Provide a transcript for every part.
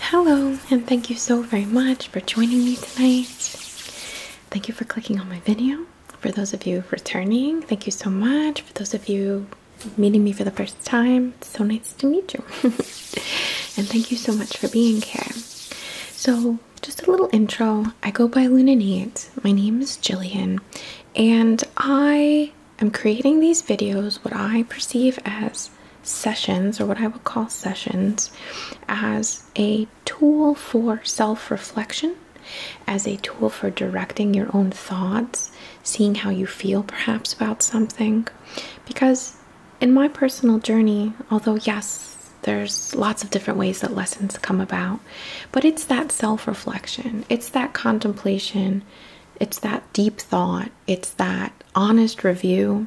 Hello, and thank you so very much for joining me tonight. Thank you for clicking on my video. For those of you returning, thank you so much. For those of you meeting me for the first time, so nice to meet you. and thank you so much for being here. So, just a little intro. I go by Luna My name is Jillian, and I am creating these videos, what I perceive as sessions, or what I would call sessions, as a tool for self reflection, as a tool for directing your own thoughts, seeing how you feel perhaps about something. Because in my personal journey, although yes, there's lots of different ways that lessons come about. But it's that self reflection, it's that contemplation, it's that deep thought, it's that honest review,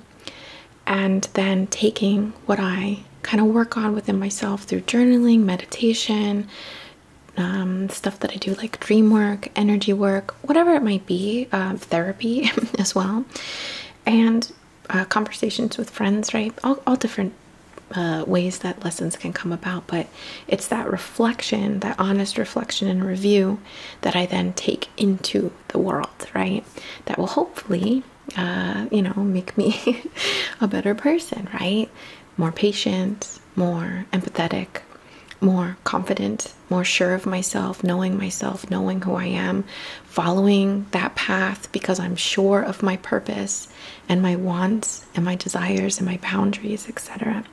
and then taking what I kind of work on within myself through journaling, meditation. Um, stuff that I do, like dream work, energy work, whatever it might be, um, therapy as well, and uh, conversations with friends, right? all different uh, ways that lessons can come about, but it's that reflection, that honest reflection and review that I then take into the world, right? That will hopefully, uh, you know, make me a better person, right? More patient, more empathetic, more confident, more sure of myself, knowing myself, knowing who I am, following that path because I'm sure of my purpose and my wants and my desires and my boundaries, etc.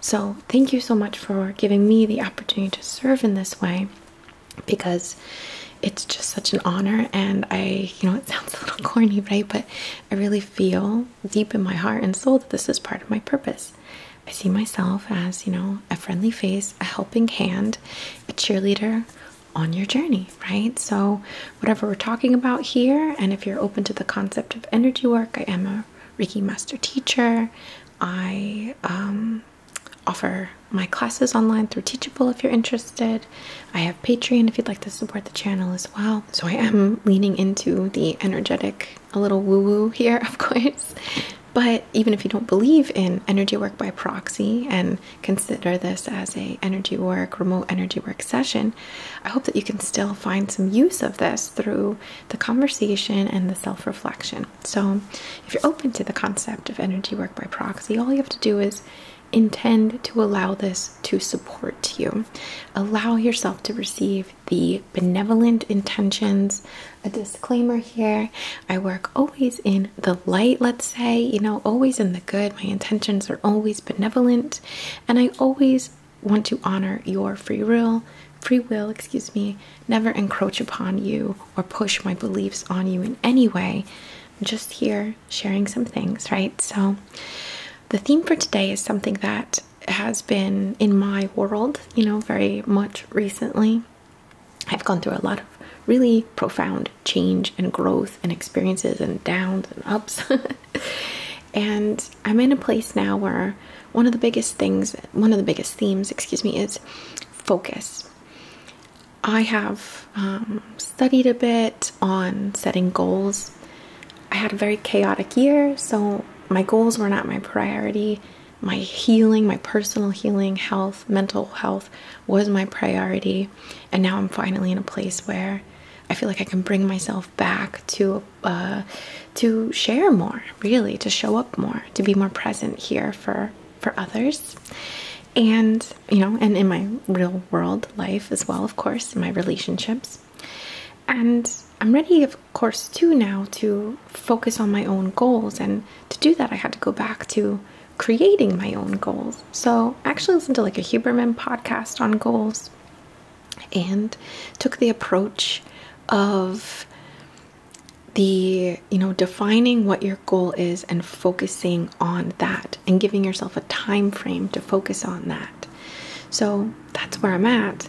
So, thank you so much for giving me the opportunity to serve in this way because it's just such an honor. And I, you know, it sounds a little corny, right? But I really feel deep in my heart and soul that this is part of my purpose. I see myself as, you know, a friendly face, a helping hand, a cheerleader on your journey, right? So, whatever we're talking about here. And if you're open to the concept of energy work, I am a Reiki master teacher. I um, offer my classes online through Teachable if you're interested. I have Patreon if you'd like to support the channel as well. So I am leaning into the energetic, a little woo woo here, of course. But even if you don't believe in energy work by proxy and consider this as a energy work, remote energy work session, I hope that you can still find some use of this through the conversation and the self reflection. So, if you're open to the concept of energy work by proxy, all you have to do is intend to allow this to support you. Allow yourself to receive the benevolent intentions. A disclaimer here I work always in the light, let's say, you know, always in the good. My intentions are always benevolent, and I always want to honor your free will, free will, excuse me, never encroach upon you or push my beliefs on you in any way. just here sharing some things, right? So the theme for today is something that has been in my world, you know, very much recently. I've gone through a lot of really profound change and growth and experiences and downs and ups and I'm in a place now where one of the biggest things, one of the biggest themes, excuse me, is focus. I have um, studied a bit on setting goals. I had a very chaotic year, so my goals were not my priority. My healing, my personal healing, health, mental health was my priority. And now I'm finally in a place where I feel like I can bring myself back to uh, to share more, really, to show up more, to be more present here for for others, and you know, and in my real world life as well, of course, in my relationships, and I'm ready, of course, too now to focus on my own goals, and to do that, I had to go back to creating my own goals. So I actually listened to like a Huberman podcast on goals and took the approach of the you know defining what your goal is and focusing on that and giving yourself a time frame to focus on that so that's where i'm at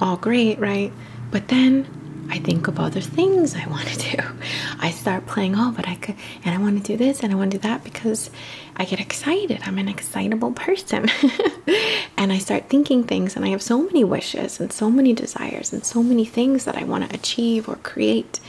all great right but then i think of other things i want to do i start playing oh but i could and i want to do this and i want to do that because I get excited. I'm an excitable person. and I start thinking things, and I have so many wishes and so many desires and so many things that I want to achieve or create.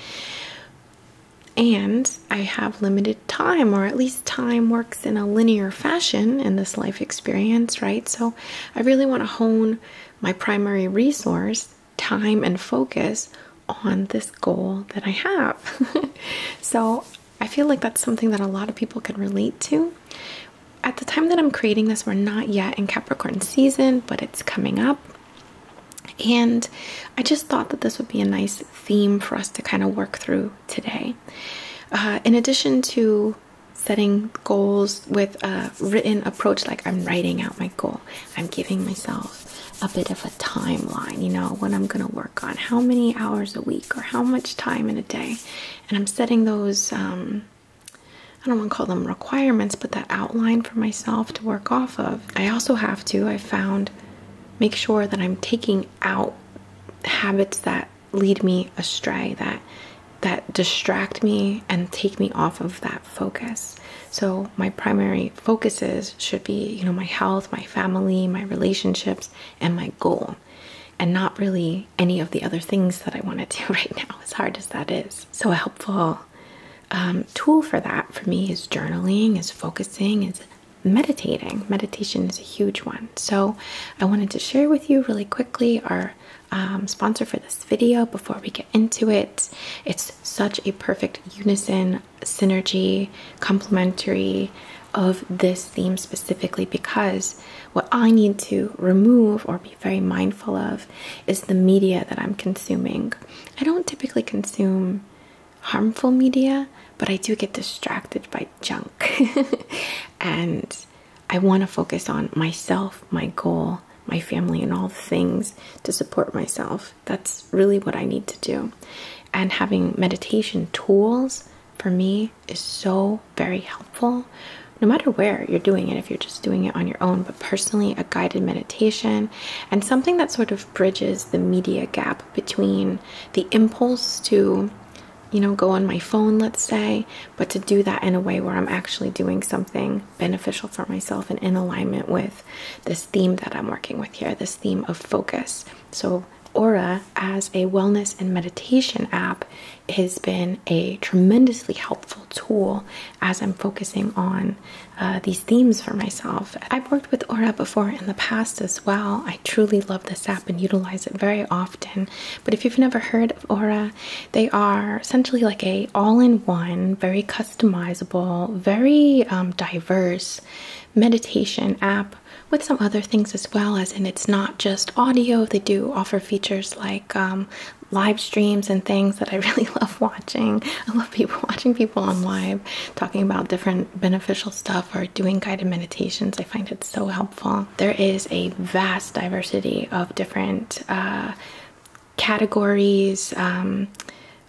And I have limited time, or at least time works in a linear fashion in this life experience, right? So I really want to hone my primary resource, time, and focus on this goal that I have. so I feel like that's something that a lot of people can relate to. At the time that I'm creating this, we're not yet in Capricorn season, but it's coming up. And I just thought that this would be a nice theme for us to kind of work through today. Uh, in addition to setting goals with a written approach, like I'm writing out my goal, I'm giving myself a bit of a timeline, you know, what I'm going to work on, how many hours a week, or how much time in a day. And I'm setting those, um, I don't want to call them requirements, but that outline for myself to work off of. I also have to, I found, make sure that I'm taking out habits that lead me astray, that that distract me and take me off of that focus. So my primary focuses should be, you know, my health, my family, my relationships, and my goal and not really any of the other things that I want to do right now, as hard as that is. So, a helpful um, tool for that for me is journaling, is focusing, is meditating. Meditation is a huge one. So, I wanted to share with you really quickly our um, sponsor for this video before we get into it. It's such a perfect unison, synergy, complementary of this theme specifically because what I need to remove or be very mindful of is the media that I'm consuming. I don't typically consume harmful media, but I do get distracted by junk. and I want to focus on myself, my goal, my family, and all things to support myself. That's really what I need to do. And having meditation tools for me is so very helpful no matter where you're doing it if you're just doing it on your own but personally a guided meditation and something that sort of bridges the media gap between the impulse to you know go on my phone let's say but to do that in a way where i'm actually doing something beneficial for myself and in alignment with this theme that i'm working with here this theme of focus so, Aura as a wellness and meditation app has been a tremendously helpful tool as I'm focusing on uh, these themes for myself. I've worked with Aura before in the past as well. I truly love this app and utilize it very often. But if you've never heard of Aura, they are essentially like a all-in-one, very customizable, very um, diverse meditation app with some other things as well as and it's not just audio they do offer features like um, live streams and things that i really love watching i love watching people on live talking about different beneficial stuff or doing guided meditations i find it so helpful there is a vast diversity of different uh, categories um,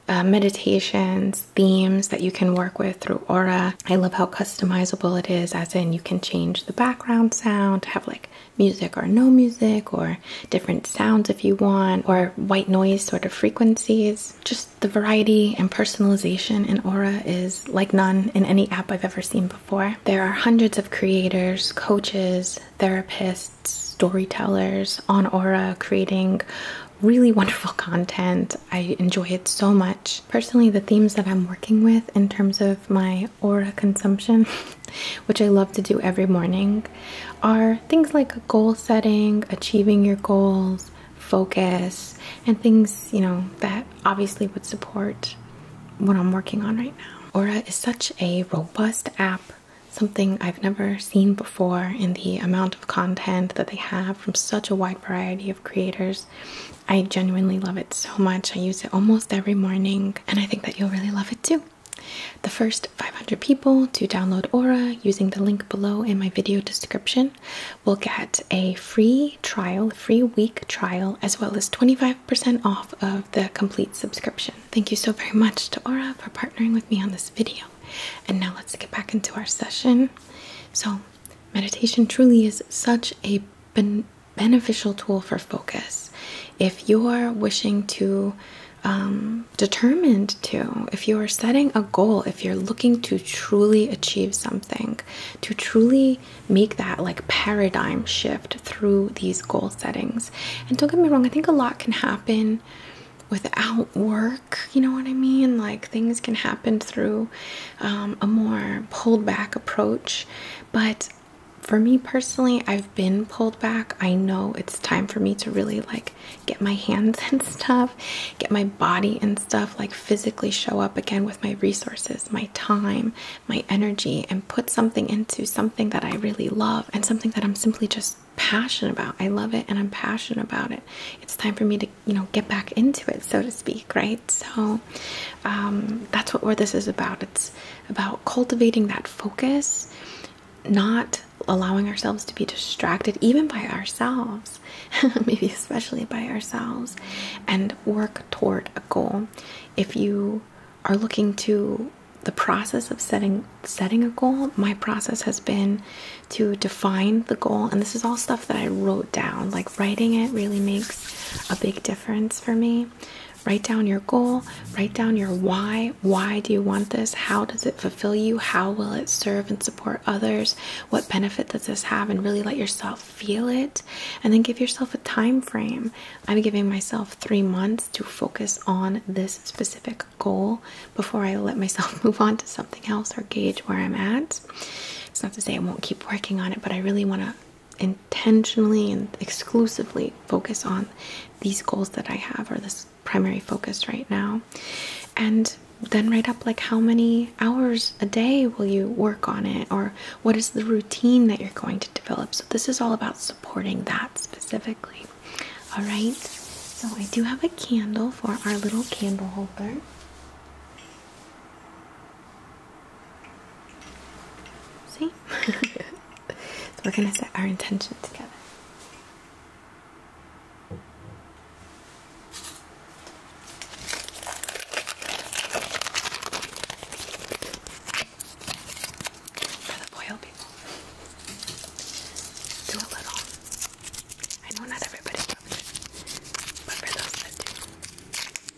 uh, meditations themes that you can work with through Aura. I love how customizable it is, as in you can change the background sound have like music or no music, or different sounds if you want, or white noise sort of frequencies. Just the variety and personalization in Aura is like none in any app I've ever seen before. There are hundreds of creators, coaches, therapists, storytellers on Aura creating really wonderful content I enjoy it so much. Personally, the themes that I'm working with in terms of my aura consumption, which I love to do every morning, are things like goal setting, achieving your goals, focus, and things, you know, that obviously would support what I'm working on right now. Aura is such a robust app something I've never seen before in the amount of content that they have from such a wide variety of creators. I genuinely love it so much. I use it almost every morning, and I think that you'll really love it too. The first 500 people to download Aura using the link below in my video description will get a free trial, free week trial, as well as 25% off of the complete subscription. Thank you so very much to Aura for partnering with me on this video. And now let's get back into our session. So, meditation truly is such a ben beneficial tool for focus. If you're wishing to, um, determined to, if you are setting a goal, if you're looking to truly achieve something, to truly make that like paradigm shift through these goal settings. And don't get me wrong, I think a lot can happen without work. You know what I mean? Like things can happen through um, a more pulled back approach. But for me personally, I've been pulled back. I know it's time for me to really like get my hands and stuff, get my body and stuff, like physically show up again with my resources, my time, my energy, and put something into something that I really love and something that I'm simply just passionate about. I love it and I'm passionate about it. It's time for me to you know get back into it so to speak right so um, that's what where this is about it's about cultivating that focus not allowing ourselves to be distracted even by ourselves maybe especially by ourselves and work toward a goal if you are looking to the process of setting setting a goal my process has been to define the goal and this is all stuff that i wrote down like writing it really makes a big difference for me. Write down your goal, write down your why. Why do you want this? How does it fulfill you? How will it serve and support others? What benefit does this have? And really let yourself feel it. And then give yourself a time frame. I'm giving myself three months to focus on this specific goal before I let myself move on to something else or gauge where I'm at. It's not to say I won't keep working on it, but I really want to intentionally and exclusively focus on these goals that I have or this primary focus right now. And then write up like how many hours a day will you work on it or what is the routine that you're going to develop. So this is all about supporting that specifically. All right. So I do have a candle for our little candle holder. See? so we're going to set our intention together. For the foil people, do a little. I know not everybody loves but for those that do,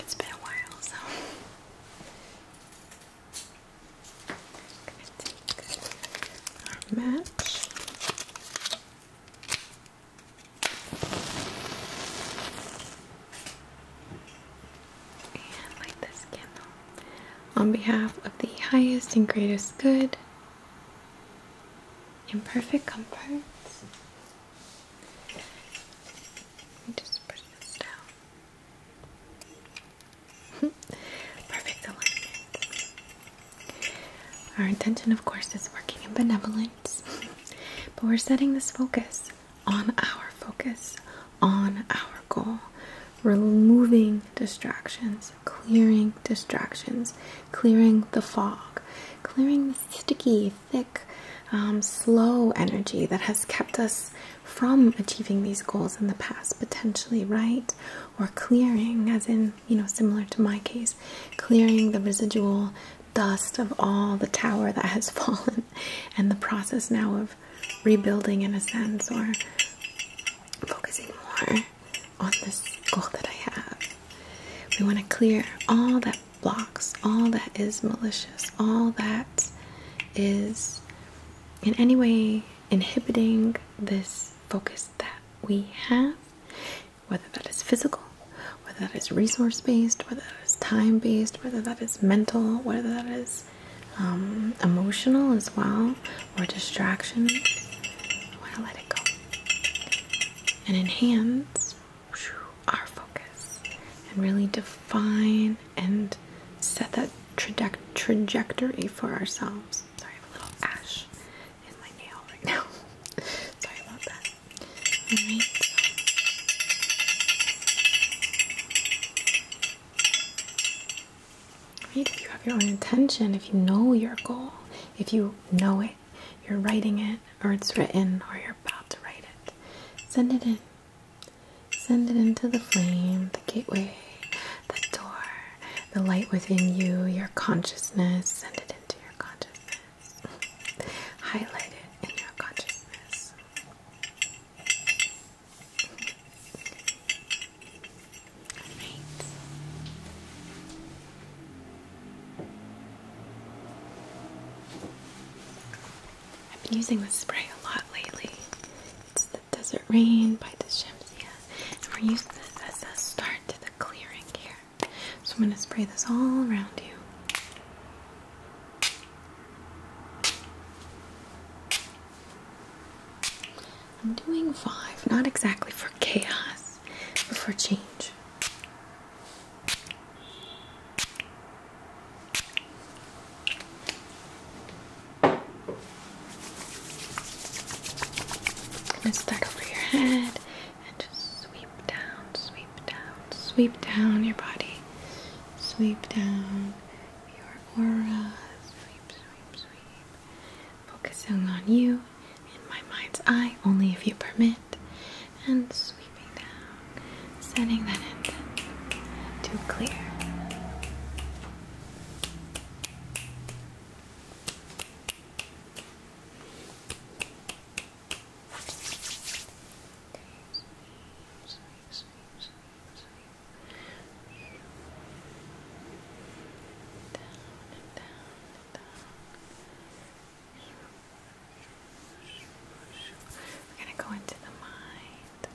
It's been a while, so match. And light this candle on behalf of the highest and greatest good in perfect comfort just put this down. Perfect alignment. Our intention, of course, is working in benevolence, but we're setting this focus on our focus, on our goal, removing distractions, clearing distractions, clearing the fog, clearing the sticky thick, um, slow energy that has kept us from achieving these goals in the past, potentially, right? Or clearing, as in, you know, similar to my case, clearing the residual dust of all the tower that has fallen and the process now of rebuilding in a sense or focusing more on this goal that I have. We want to clear all that blocks. All that is malicious. All that is in any way inhibiting this focus that we have, whether that is physical, whether that is resource based, whether that is time based, whether that is mental, whether that is um, emotional as well, or distractions. I want to let it go and enhance our focus and really define and set that trajectory for ourselves. Sorry, I have a little ash in my nail right now. Sorry about that. Right, if you have your own intention, if you know your goal, if you know it, you're writing it, or it's written, or you're about to write it. Send it in. Send it into the flame, the gateway, the door, the light within you, your consciousness. Send it into your consciousness. Highlight it in your consciousness. All right. I've been using this spray a lot lately. It's the Desert Rain by Dishamsia, and we're using this as a start to the clearing here. So I'm going to spray this all around you. I'm doing five, not exactly for chaos before change. i start over your head and just sweep down, sweep down, sweep down your body, sweep down your aura, sweep, sweep, sweep. Focusing on you in my mind's eye, only if you permit and sweeping down, setting that intent to clear. We're going to go into the mind,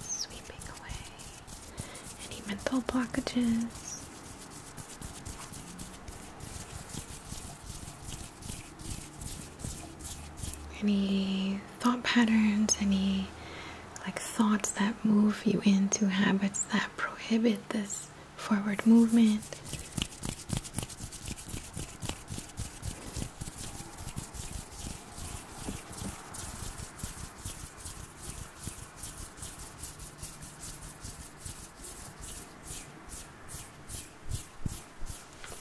sweeping away any mental blockages. Any thought patterns, any like thoughts that move you into habits that prohibit this forward movement.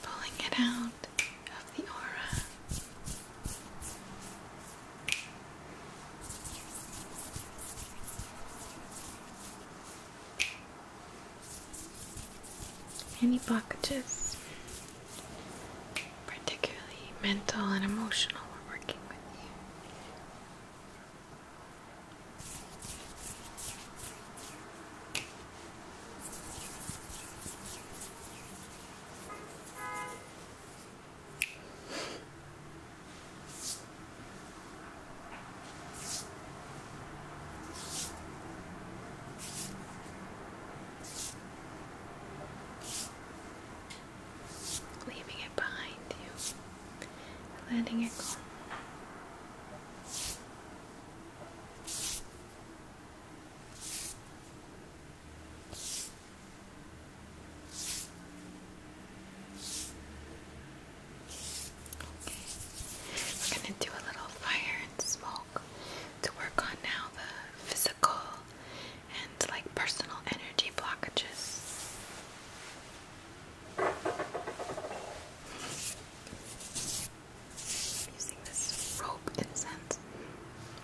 Pulling it out of the aura. Any blockages, particularly mental and emotional, we're working with you leaving it behind you, letting it go. We're going to do a little fire and smoke to work on now the physical and like personal energy blockages. I'm using this rope incense.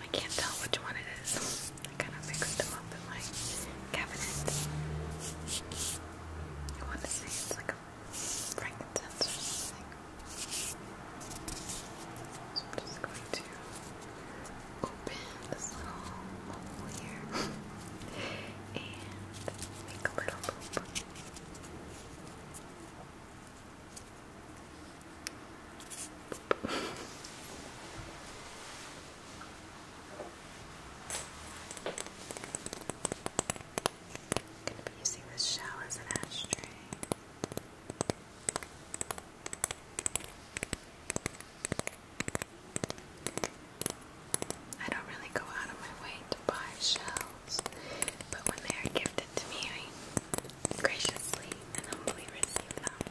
I can't tell which one it is. I kind of mixed them up in my cabinet. I want to say it's like a frankincense or something. So I'm just going to open this little hole here and make a little loop. I'm going to be using this shell as an ashtray. I don't really go out of my way to buy shells, but when they are gifted to me, graciously and humbly receive them.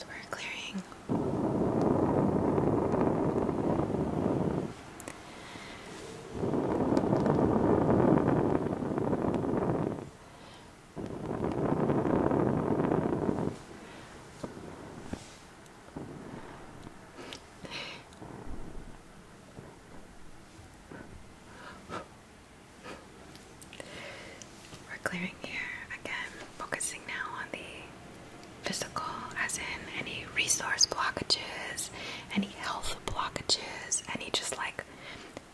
So we're clearing we're clearing here again, focusing now on the physical, as in any resource blockages, any health blockages, any just like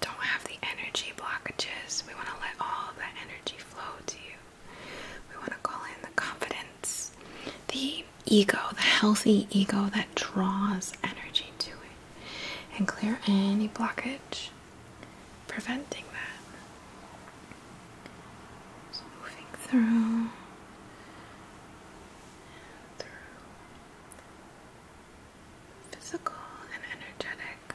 don't have the energy blockages. We want to let all of that energy flow to you. We want to call in the confidence, the ego, the healthy ego that draws energy to it, and clear any blockage preventing that. So moving through. Through physical and energetic.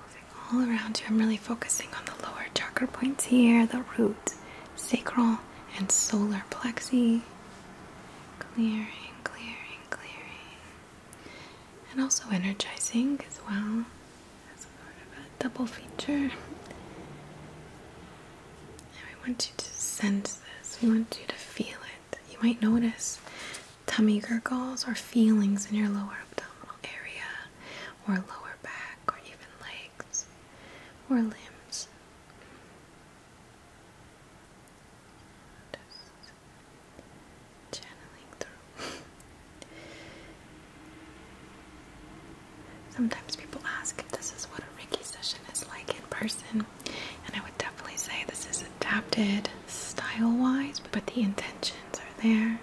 Moving all around you, I'm really focusing on the lower chakra points here the root, sacral, and solar plexi. Clearing, clearing, clearing. And also energizing as well. As sort of a double feature. And we want you to sense this, we want you to feel it. You might notice tummy gurgles or feelings in your lower abdominal area or lower back or even legs or limbs. channeling through. Sometimes people ask if this is what a Reiki session is like in person. And I would definitely say this is adapted style wise, but the intentions are there.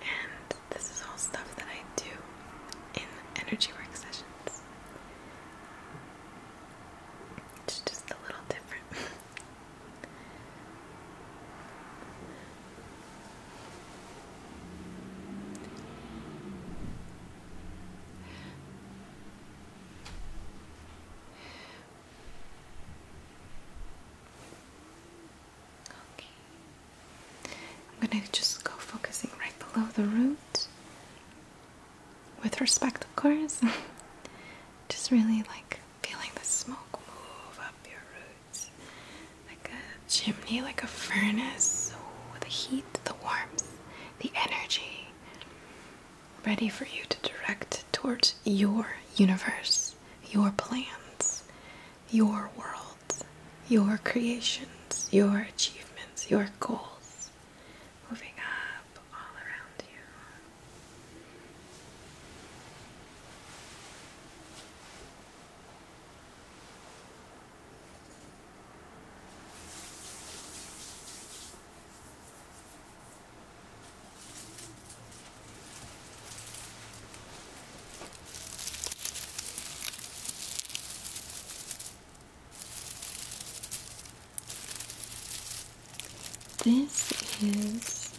And this is all stuff that I do in energy work sessions. It's just a little different. Okay. I'm gonna just go focusing right below the root. With respect, of course. just really like feeling the smoke move up your roots. Like a chimney, like a furnace. Ooh, the heat, the warmth, the energy ready for you to direct towards your universe, your plans, your worlds, your creations, your achievements, your goals, moving up all around you. This is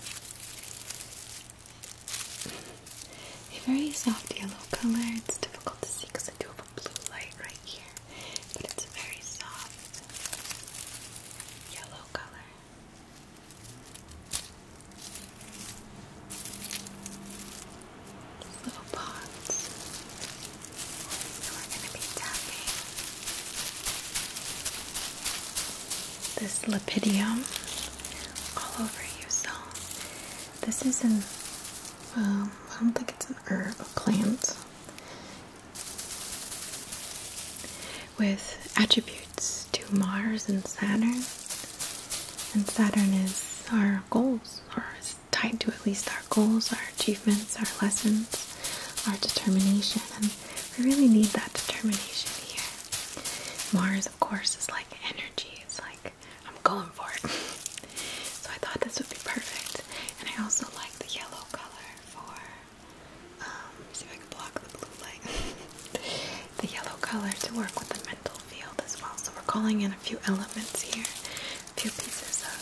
a very soft yellow color. It's difficult to see because I do have a blue light right here but it's a very soft yellow color. These little pots. So we're going to be tapping this lipidium all over you. So this is an, um, I don't think it's an herb, a plant with attributes to Mars and Saturn. And Saturn is our goals, or is tied to at least our goals, our achievements, our lessons, our determination. And we really need that determination here. Mars, of course, is like energy. It's like, I'm going for it. so I thought this would be perfect. And I also like the yellow color for um, see if I can block the blue light. the yellow color to work with the mental field as well. So we're calling in a few elements here, a few pieces of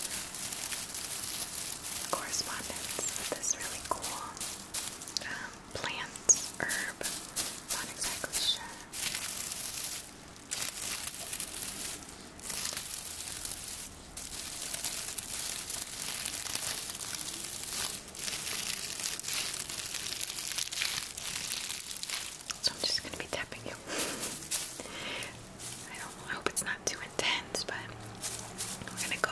correspondence with this really cool um, plant, herb. Not exactly sure. So I'm just going to be tapping you. I don't I hope it's not too intense, but we're going to go.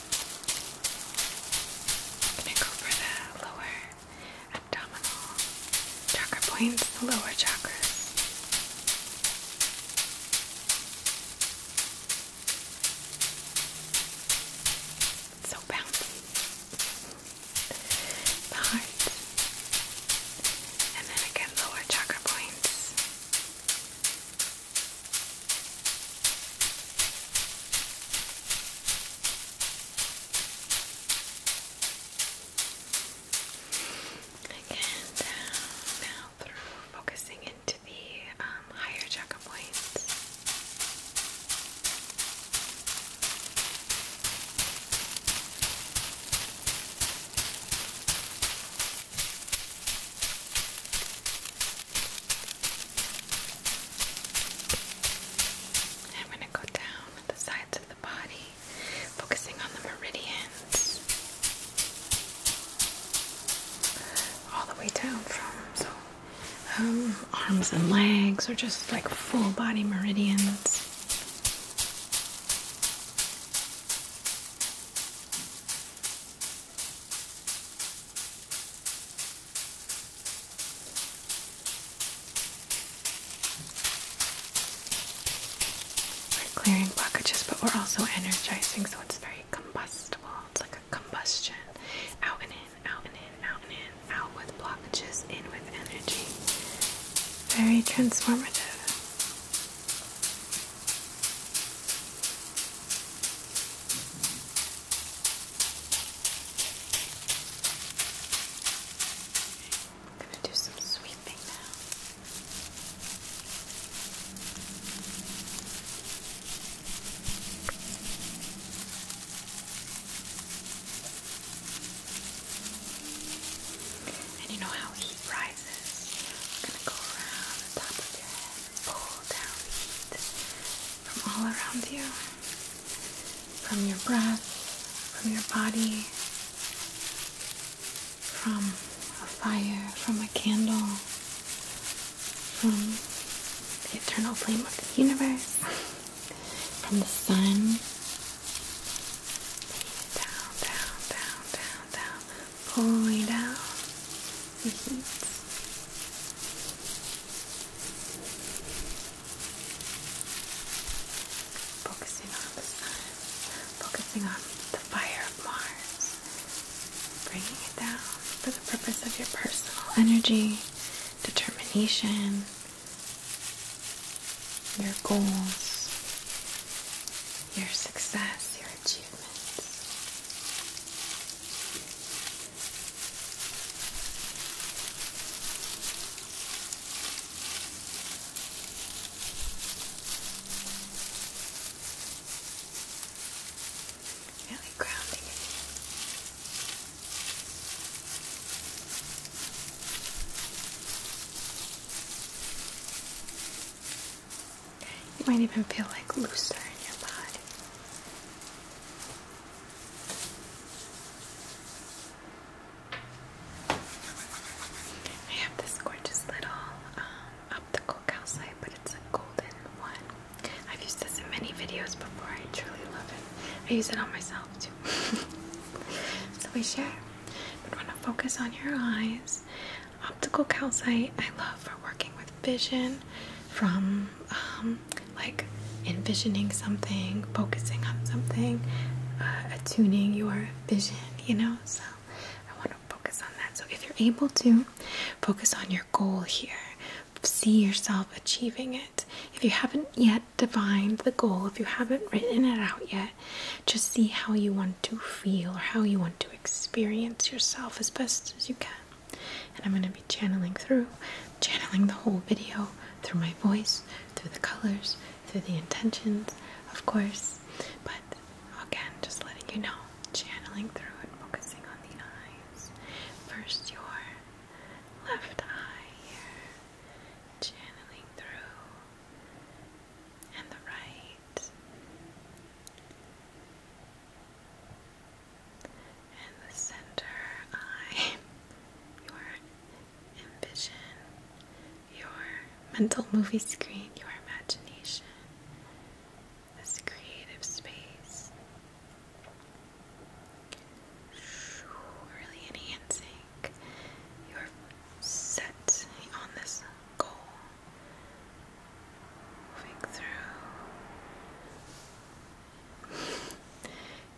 i go for the lower abdominal chakra points, the lower chakras. so bouncy. The heart. And then again, lower chakra points. Again, down now through focusing into the um, higher chakra points. Again, I'm going to go down the sides of the body, focusing on the meridians, all the way down from um, arms and legs, or just like full body meridians. We're clearing blockages, but we're also energizing, so it's very combustible. It's like a combustion. Out and in, out and in, out and in, out with blockages, in with energy. Very transformative. I'm going to do some sweeping now. And you know how heat rises? I'm going to go around the top of your head pull down heat from all around you, from your breath, from your body, from a fire, from a candle, from the eternal flame of the universe, from the sun. Down, down, down, down, down pulling down the heat. Focusing on the sun, focusing on the fire of Mars, bringing it down for the purpose of your personal energy, determination, your goals, your success, your achievements. Really grounding in you. All you might even feel like looser in your body. I have this gorgeous little um, optical calcite, but it's a golden one. I've used this in many videos before. I truly love it. I use it on myself too. so we share. But want to focus on your eyes Optical calcite I love for working with vision from um, like envisioning something, focusing on something, uh, attuning your vision, you know. So I want to focus on that. So if you're able to focus on your goal here, see yourself achieving it. If you haven't yet defined the goal, if you haven't written it out yet, just see how you want to feel or how you want to experience yourself as best as you can. And I'm going to be channeling through, channeling the whole video through my voice, through the colors, through the intentions, of course. But again, just letting you know, channeling through and focusing on the eyes. First, your left eye here, channeling through, and the right. And the center I your ambition, your mental movie screen, your imagination, this creative space. Really enhancing your set on this goal Moving through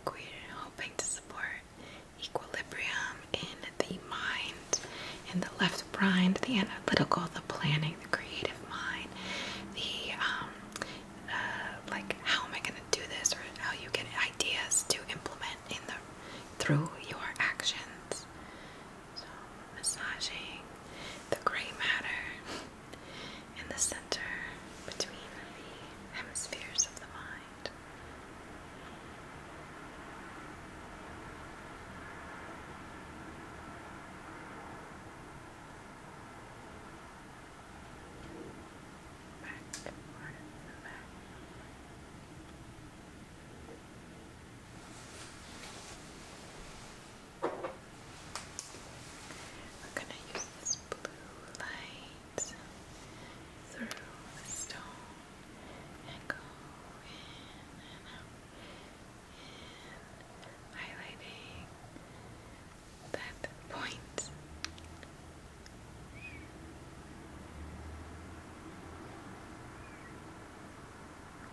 queer, hoping to support equilibrium in the mind, in the left mind, the analytical, the planning, the creative mind, the um, uh, like how am I going to do this, or how you get ideas to implement in the through your actions. So, massaging the gray matter in the center between the hemispheres of the mind. Back, back. We're going to use this blue light through the stone and go in and out highlighting that point.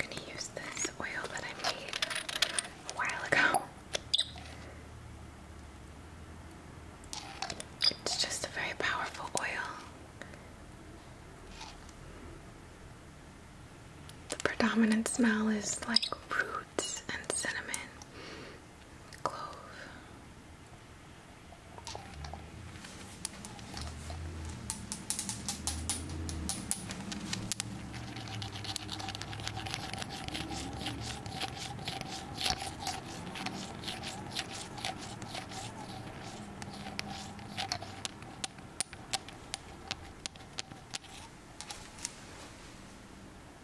I'm gonna use this oil that I made a while ago. It's just a very powerful oil. The predominant smell is like roots and cinnamon, clove.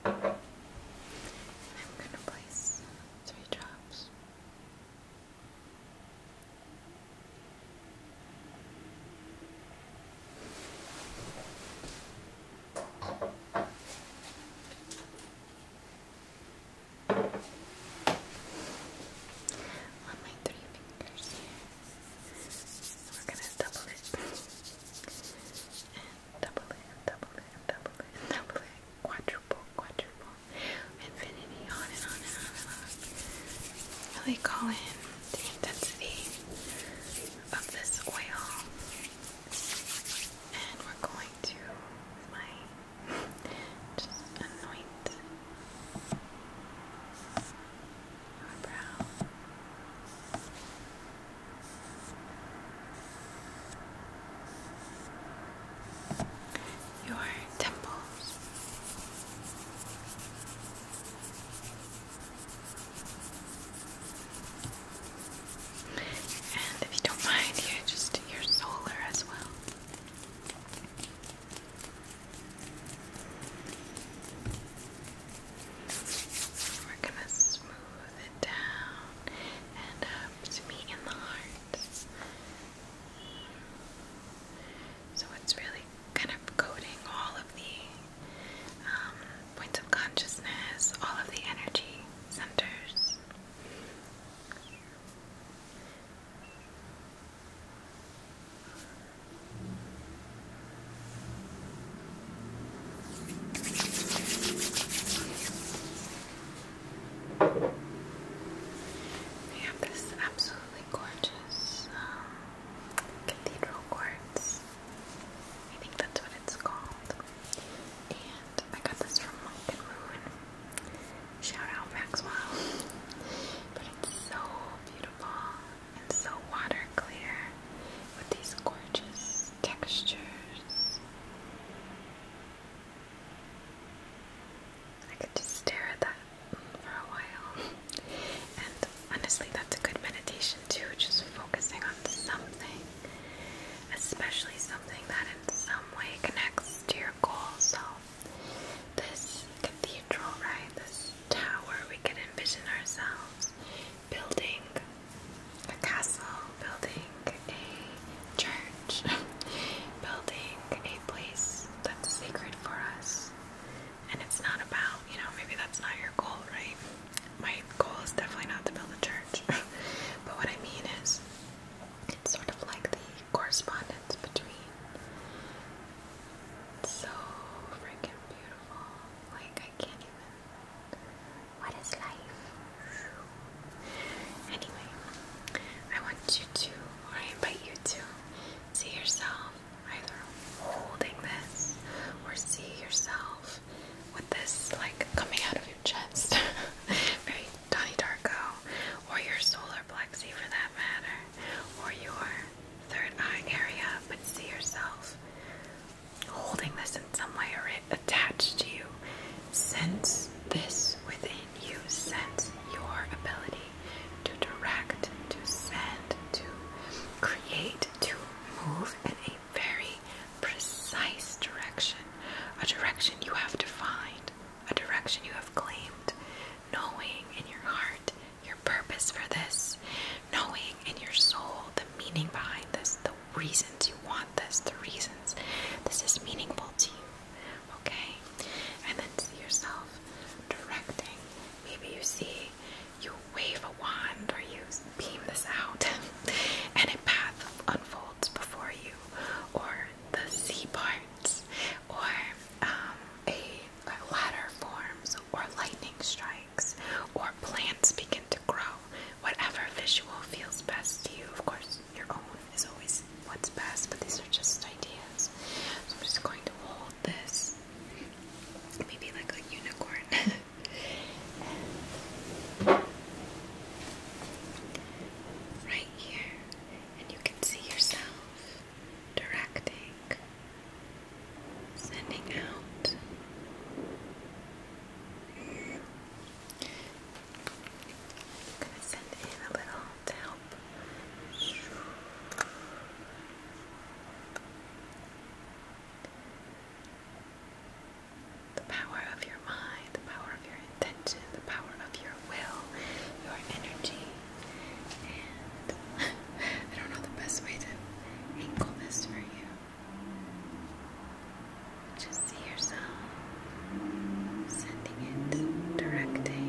I'm gonna place three drops. On my three fingers here, we're gonna double it, double it, double it, double it, double it, quadruple, quadruple, infinity, on and on and on Really call in the intensity of this oil, and we're going to anoint our brow your temples. And if you don't mind, here, just your solar as well. We're gonna smooth it down and up. Uh, thumbs meet in the heart. So it's really kind of coding all of the um, points of consciousness, all of the energy centers. We have this absolutely gorgeous um, cathedral quartz. I think that's what it's called. And I got this from Moon. Shout out Maxwell. But it's so beautiful and so water clear with these gorgeous textures. I could just stare at that for a while. And honestly, that's a good meditation too, just focusing on something, especially something that in some way connects to your goal. So, this cathedral, right? This tower, we could envision ourselves building a castle, building a church, building a place that's sacred for us. And it's not about, you know, maybe that's not your goal, right? My goal is definitely not to build a church. but what I mean is, it's sort of like the correspondence between. It's so freaking beautiful. Like, I can't even what is life? Anyway, I want you to, or I invite you to, see yourself either holding this or see yourself with this like coming out of your chest. Very Donnie Darko, or your solar plexus for that matter, or your third eye area, but see yourself holding this in some way or it attached to you. Sense this within you. Sense your ability to direct, to send, to create, to move in a very precise direction. A direction you have defined, a direction you have claimed, knowing in your heart your purpose for this, knowing in your soul the meaning behind this, the reasons you want this, the reasons this is meaningful to you. Okay? And then see yourself directing. Maybe you see you wave a wand or you beam this out and a path unfolds before you, or the sea parts, or um, a ladder forms, or lightning strikes, or plants begin to grow. Whatever visual feels best to you, of course your own is always what's best, but these are just ideas. I'm just going to hold this, maybe like a unicorn, right here, and you can see yourself directing, sending out i The power of your mind, the power of your intention, the power of your will, your energy. I don't know the best way to angle this for you. Just see yourself sending it, directing.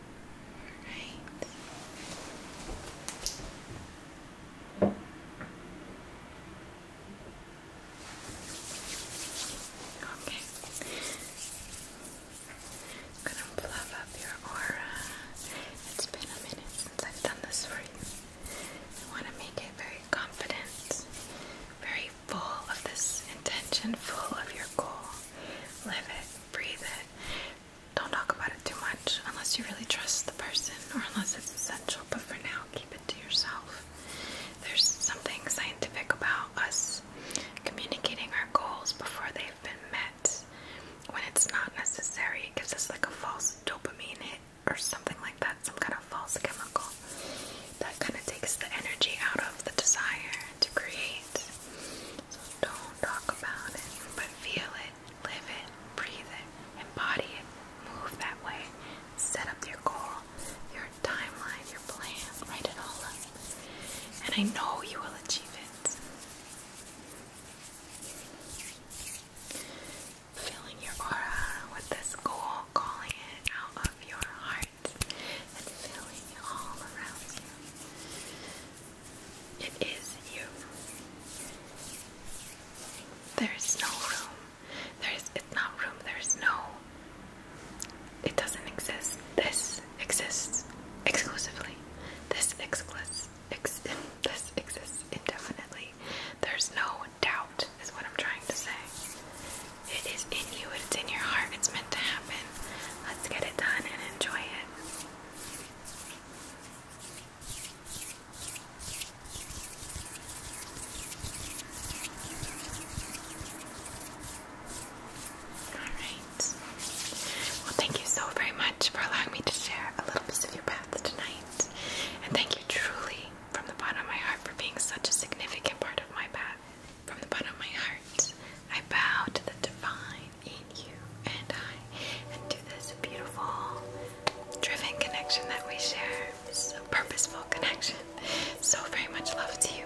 All right. Okay. I'm gonna fluff up your aura. It's been a minute since I've done this for you. I want to make it very confident, very full of this intention, full of your goal. Live it, breathe it, don't talk about it too much unless you really trust the person or unless it's essential. But for now, keep it to yourself. There's something scientific about us communicating our goals before they've been met when it's not necessary. It gives us like a false dopamine hit or something like that, some kind of false chemical that kind of takes the energy out of the desire to create. So don't talk about it, but feel it live it, breathe it, embody it, move that way, set up your goal, your timeline, your plan, write it all up. And I know you will achieve it. Filling your aura with this goal, calling it out of your heart, and filling all around you. It is you. There is no room. There is it's not room. There is no. It doesn't exist. This exists exclusively. This exists. Ex this exists indefinitely. There's no doubt, is what I'm trying to say. It is in you. It's in your heart. It's meant to happen. Let's get it done and enjoy it. Alright. Well, thank you so very much for allowing me to share a little piece of your path tonight. And thank you truly from the bottom of my heart for being such a significant part of my path. From the bottom of my heart, I bow to the divine in you and I, and do this beautiful, driven connection that we share. It's a purposeful connection. So very much love to you.